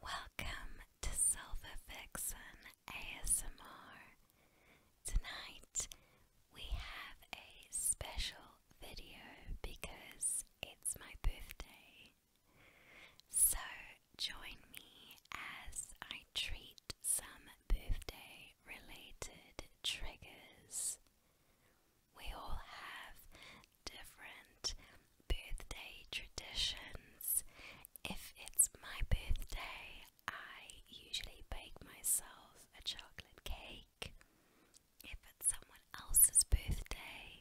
Welcome to Silver ASMR. Tonight we have a special video because it's my birthday. So join me as I treat some birthday related triggers. We all have different birthday traditions. If it's my birthday, I usually bake myself a chocolate cake. If it's someone else's birthday,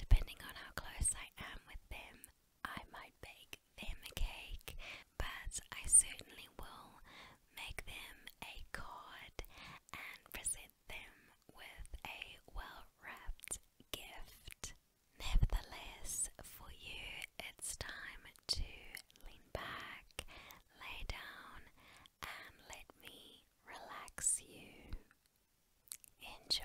depending on how close I am with them, I might bake them a cake, but I certainly will make them a card and present them with a well wrapped gift. Nevertheless, for you it's time to lean back, lay down, and let me relax you. Enjoy.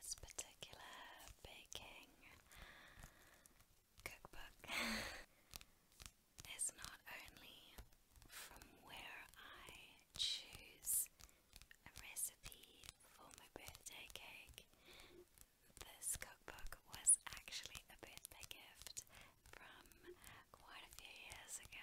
This particular baking cookbook is not only from where I choose a recipe for my birthday cake this cookbook was actually a birthday gift from quite a few years ago.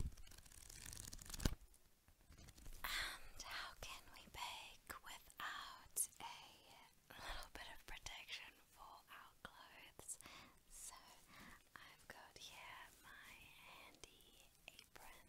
And how can we bake without a little bit of protection for our clothes? So I've got here my handy apron.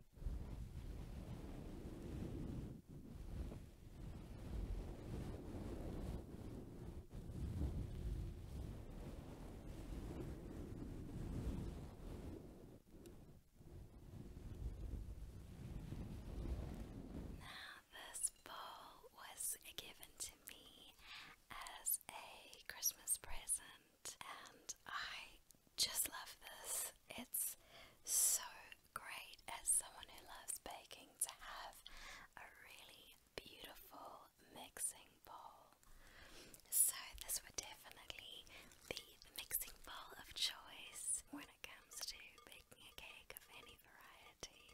Now, this bowl was given to me as a Christmas present, and I just love this. It's so great as someone who loves baking to have a really beautiful mixing bowl. So, this would definitely be the mixing bowl of choice when it comes to baking a cake of any variety.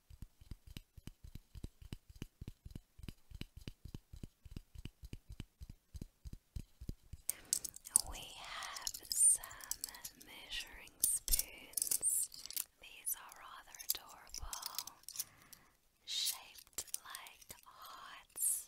We have some measuring spoons. These are rather adorable, shaped like hearts.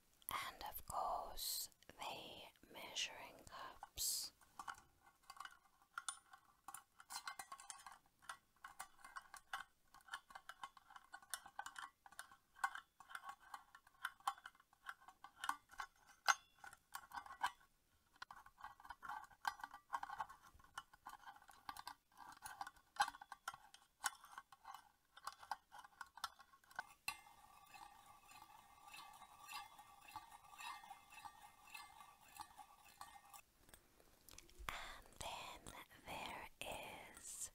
and of course the measuring cups. And then there is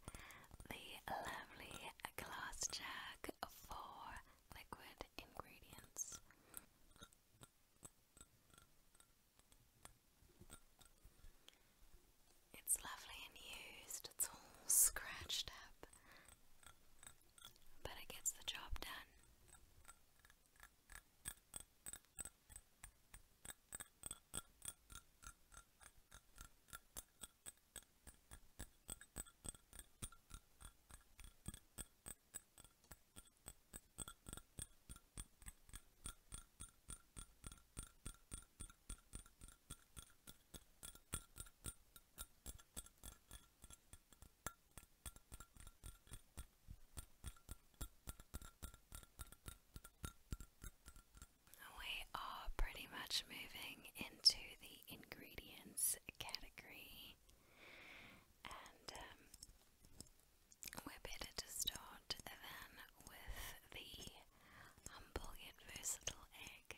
the lovely glass jug for liquid ingredients. It's lovely and used, it's all scratched up but it gets the job done. We are pretty much moving into the ingredients category, and um, we're better to start than with the humble yet egg.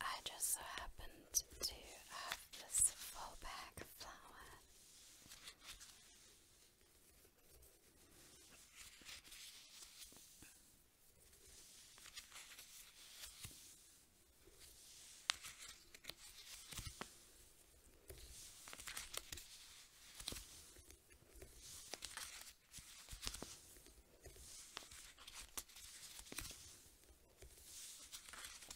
I just so happened to love this full bag of flour.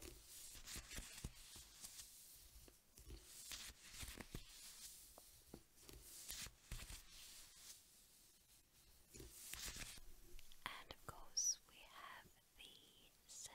And of course, we have the sieve.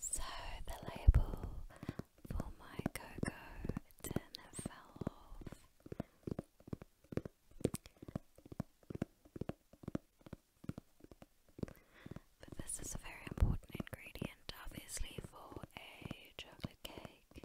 So the label for my cocoa go dinner fell off. But this is a very important ingredient, obviously, for a chocolate cake.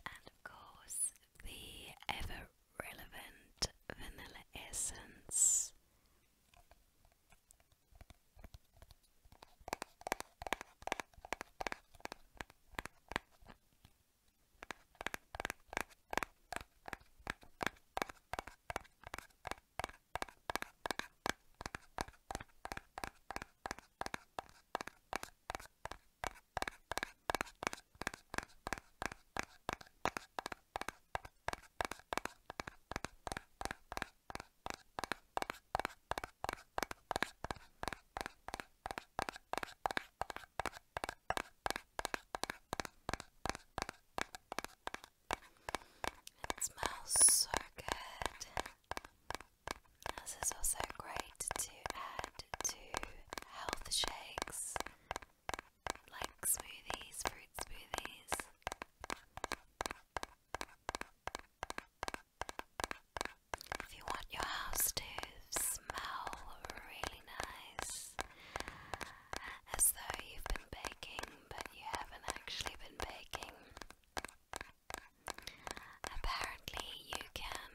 And of course, the ever relevant vanilla essence. It smells so good. This is also great to add to health shakes like smoothies, fruit smoothies. If you want your house to smell really nice, as though you've been baking but you haven't actually been baking, apparently you can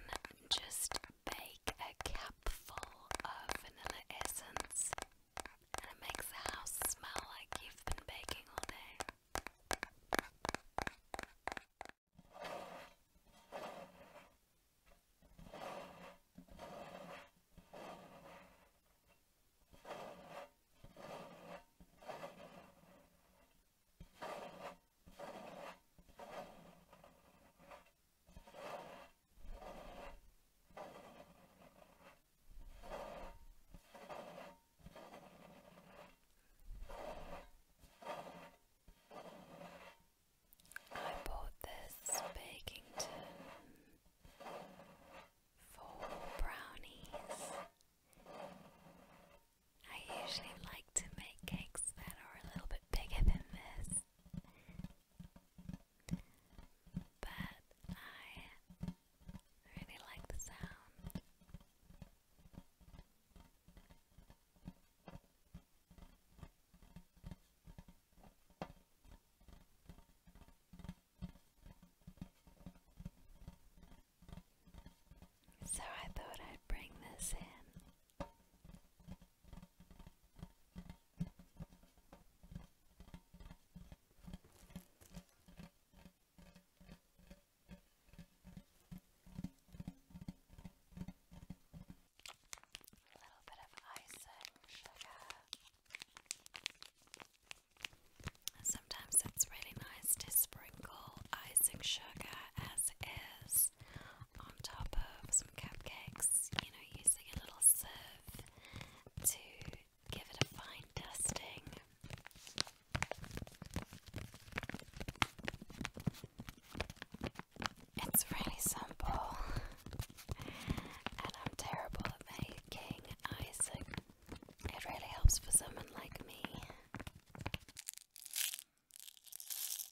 just bake a cupful of vanilla essence and it makes the house smell like you've been baking all day. I bought this Bakington for brownies. I usually like to make cakes that are a little bit bigger than this, but I really like the sound. So I thought I'd bring this in a little bit of icing sugar. Sometimes it's really nice to sprinkle icing sugar as is on top of some cupcakes, you know, using a little sieve to give it a fine dusting. It's really simple, and I'm terrible at making icing. It really helps for someone like me.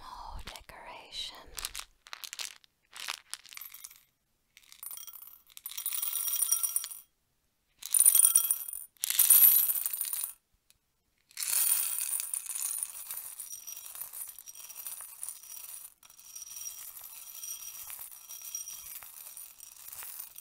More decoration.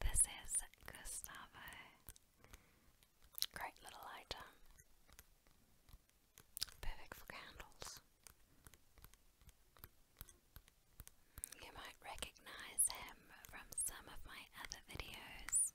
This is Gustavo. Great little item. Perfect for candles. You might recognize him from some of my other videos.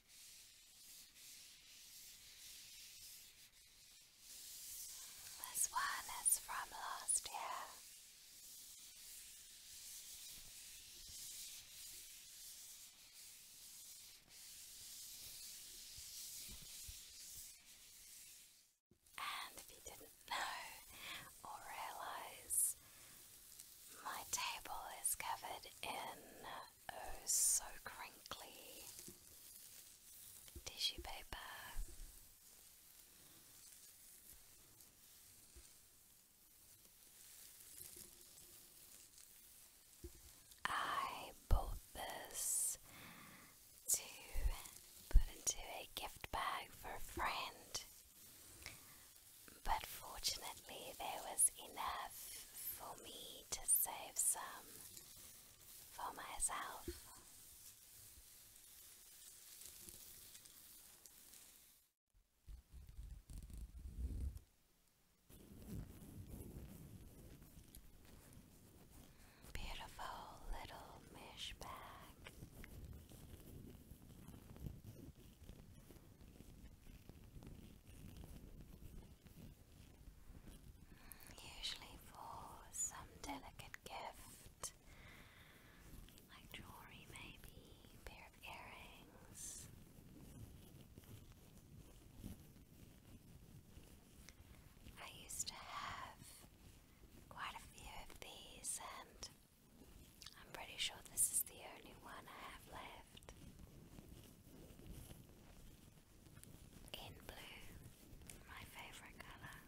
This one is from last year. And if you didn't know or realise, my table is covered in Oh, so crinkly. Tissue paper. I bought this to put into a gift bag for a friend, but fortunately, there was enough for me to save some for myself. Beautiful little mesh Usually for some delicate gift, like jewelry, maybe, a pair of earrings. I used to have quite a few of these, and I'm pretty sure this is the only one I have left in blue, my favourite colour.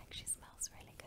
Actually smells really good.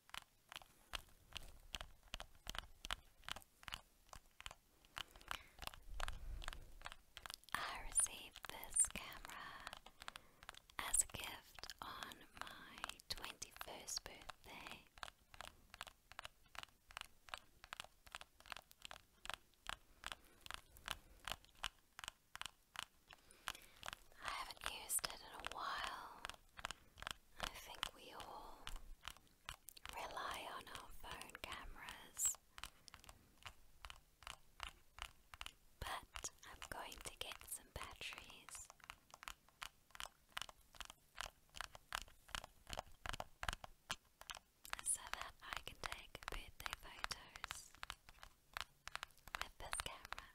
I received this camera as a gift on my 21st birthday. I haven't used it in a while. I think we all rely on our phone cameras. But I'm going to get some batteries. So that I can take birthday photos with this camera.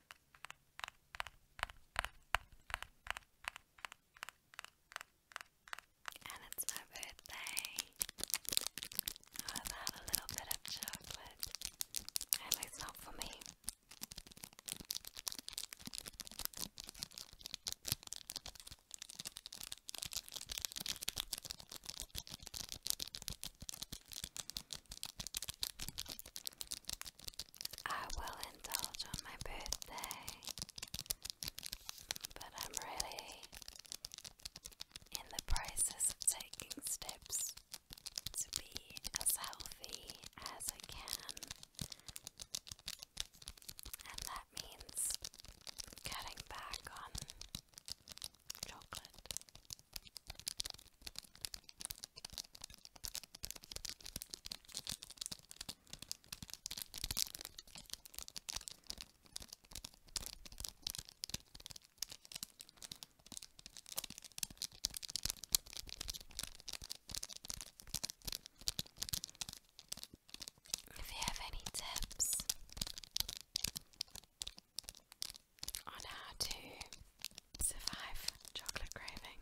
And it's my birthday. I'll have a little bit of chocolate. At least not for me. I will indulge on my birthday, but I'm really in the process of taking steps to be as healthy as I can, and that means cutting back on chocolate. If you have any tips on how to survive chocolate craving,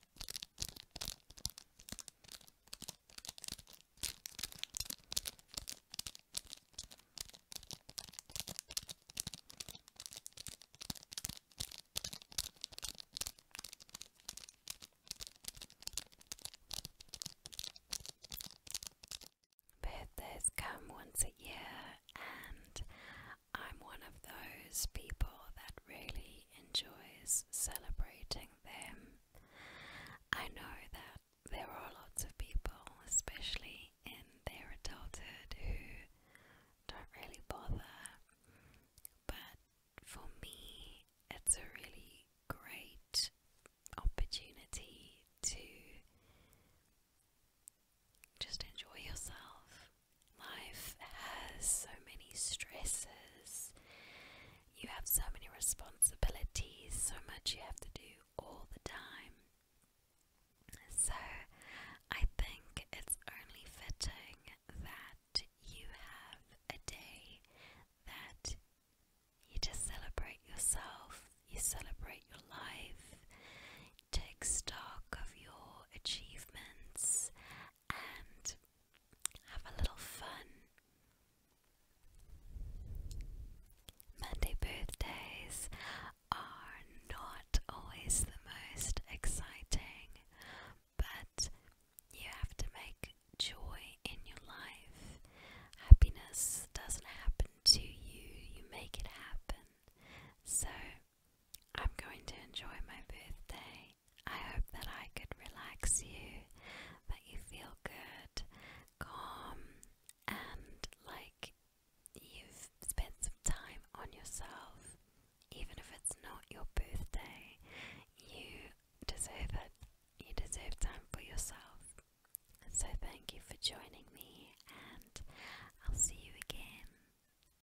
Birthdays come once a year, and I'm one of those people that really enjoys celebrating them. I know that there are lots of people, especially in their adulthood, who don't really bother, but for me, it's a really great opportunity to just enjoy yourself Life has so many stresses, you have so many responsibilities, so much you have to do all the time. So, I think it's only fitting that you have a day that you just celebrate yourself, you celebrate your life, take stock of your achievements, and have a little fun. Monday birthdays are not always the most exciting, but you have to make joy in your life. Happiness doesn't happen to you, you make it happen. So I'm going to enjoy my birthday. I hope that I could relax you, that you feel good, calm, and like you've spent some time on yourself. Even if it's not your birthday, you deserve it. You deserve time for yourself. So, thank you for joining me, and I'll see you again